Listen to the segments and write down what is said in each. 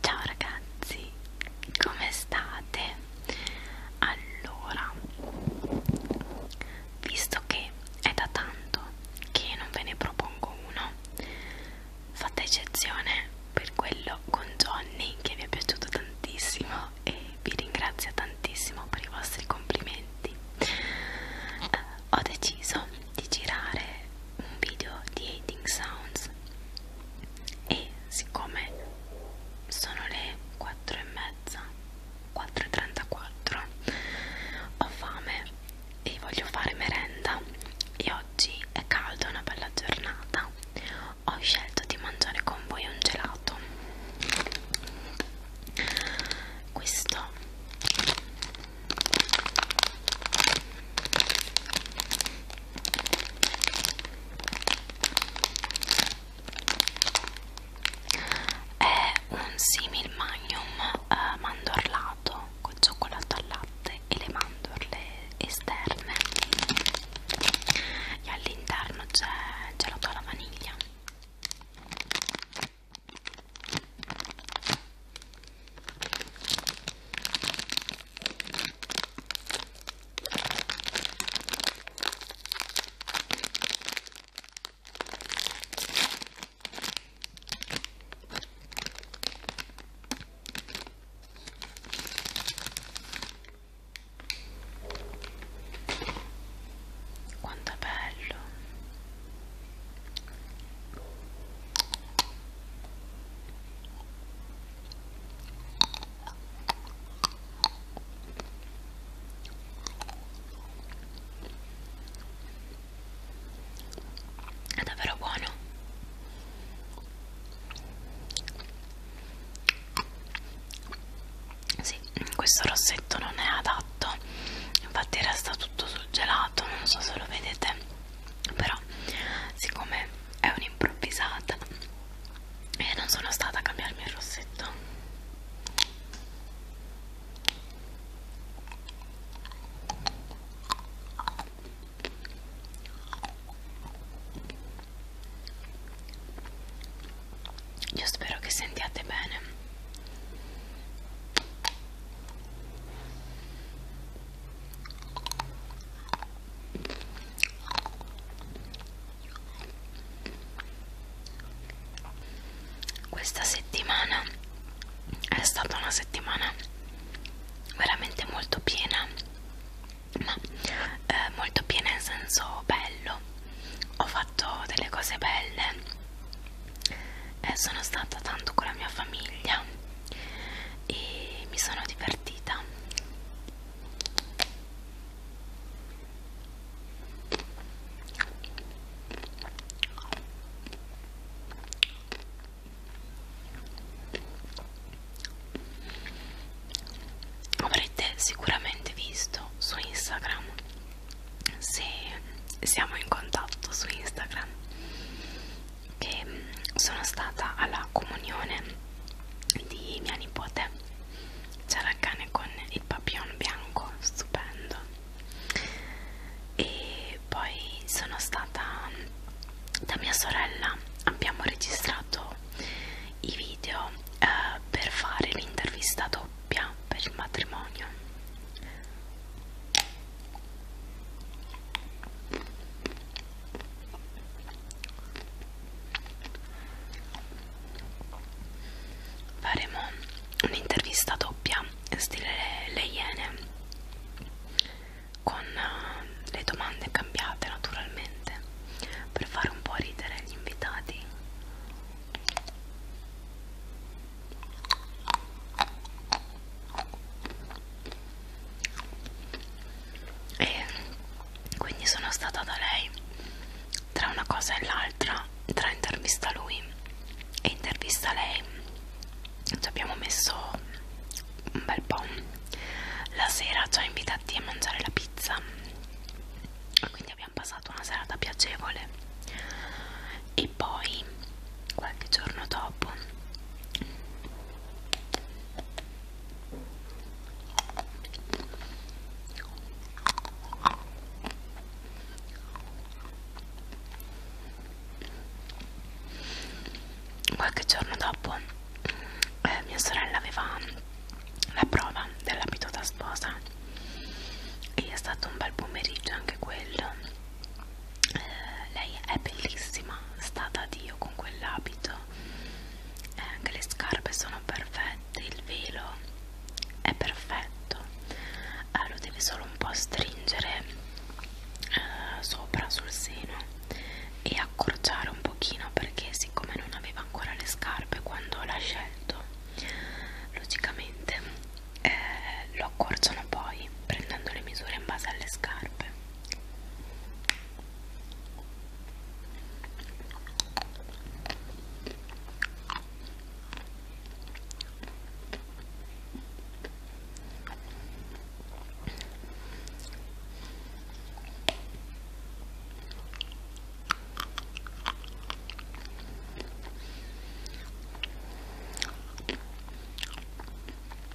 Ciao ragazzi, come state? Allora, visto che è da tanto che non ve ne propongo uno, fate eccezione per quello con Johnny che vi è piaciuto tantissimo e vi ringrazio tantissimo per i vostri complimenti. Eh, ho deciso di girare un video di Hating Sounds e siccome sono le 4 e mezza 4.34 ho fame e voglio fare merenda e oggi è caldo, è una bella giornata ho scelto di mangiare con voi un gelato questo è un simil magnum eh, mandorlato con cioccolato al latte e le mandorle esterne e all'interno c'è gelato alla vaniglia quanto è bello è davvero buono sì, questo rossetto non è adatto infatti resta tutto sul gelato non so se lo vedete però siccome è un'improvvisata e eh, non sono stata a cambiarmi il rossetto io spero che sentiate bene questa settimana è stata una settimana veramente molto piena, ma eh, molto piena in senso bello. Ho fatto delle cose belle e eh, sono stata tanto con la mia famiglia e mi sono divertita avrete sicuramente visto su Instagram se siamo in contatto su Instagram che sono stata alla comunione di mia nipote c'era il cane con il papillon bianco stupendo e poi sono stata da mia sorella abbiamo registrato i video eh, per fare l'intervista doppia per il matrimonio faremo un'intervista doppia in stile le, le Iene con eh, le domande cambiate naturalmente per fare un po' ridere gli invitati e quindi sono stata da lei tra una cosa e l'altra tra intervista lui e intervista lei ci abbiamo messo un bel po' la sera ci ha invitati a mangiare la pizza quindi abbiamo passato una serata piacevole e e poi qualche giorno dopo qualche giorno dopo eh, mia sorella aveva la prova dell'abito da sposa e è stato un bel pomeriggio anche quello eh, lei è bellissima, sta da Dio con quell'abito, eh, anche le scarpe sono perfette, il velo è perfetto, eh, lo deve solo un po' stringere eh, sopra sul seno e accorciare un pochino perché siccome non aveva ancora le scarpe quando l'ha scelto logicamente eh, lo accorciano poi prendendo le misure in base alle scarpe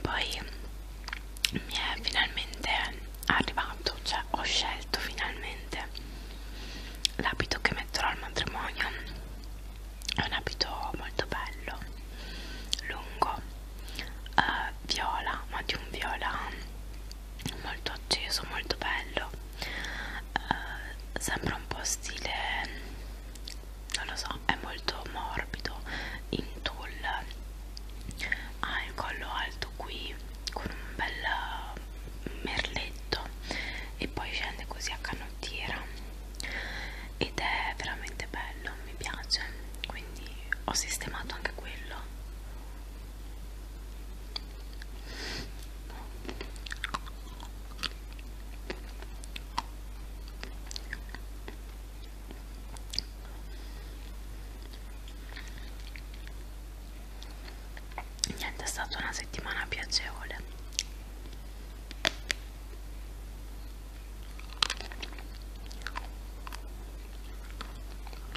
Poi mi è finalmente arrivato, cioè ho scelto finalmente l'abito che metterò al matrimonio. È un abito molto bello, lungo, eh, viola, ma di un viola molto acceso, molto bello eh, sembra un po' stile non lo so, è molto morbido in tulle ha il collo alto qui con un bel eh, merletto e poi scende così a canottiera ed è veramente bello, mi piace quindi ho sistemato anche quello niente è stata una settimana piacevole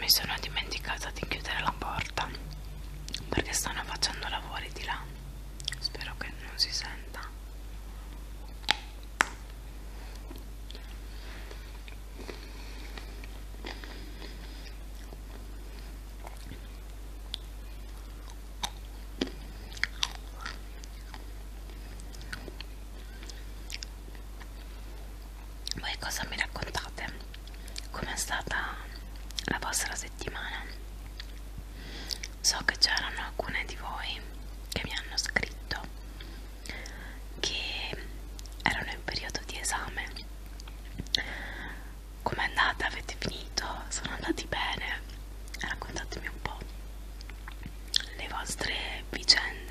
mi sono dimenticata di chiudere la porta perché stanno facendo lavori di là spero che non si senta voi cosa mi raccontate? Com'è stata la vostra settimana? so che c'erano alcune di voi che mi hanno scritto che erano in periodo di esame com'è andata? avete finito? sono andati bene? raccontatemi un po' le vostre vicende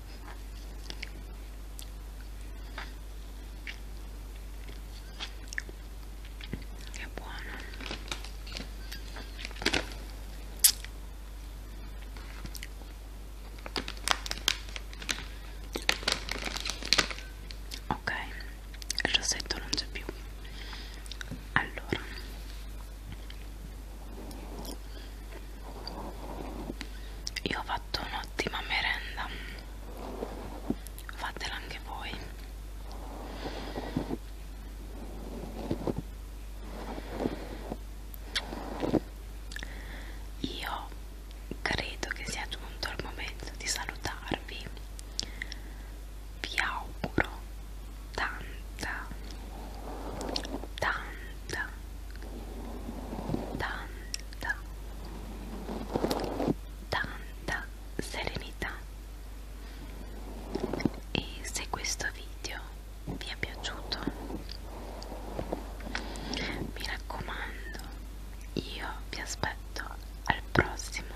che buono ok il rossetto non c'è più allora io ho fatto un'ottima merenda fatela anche voi io credo che sia giunto il momento di salutarvi vi auguro tanta tanta tanta tanta tanta serenità e se questo video vi è piaciuto mi raccomando io vi aspetto al prossimo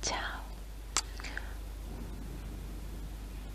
ciao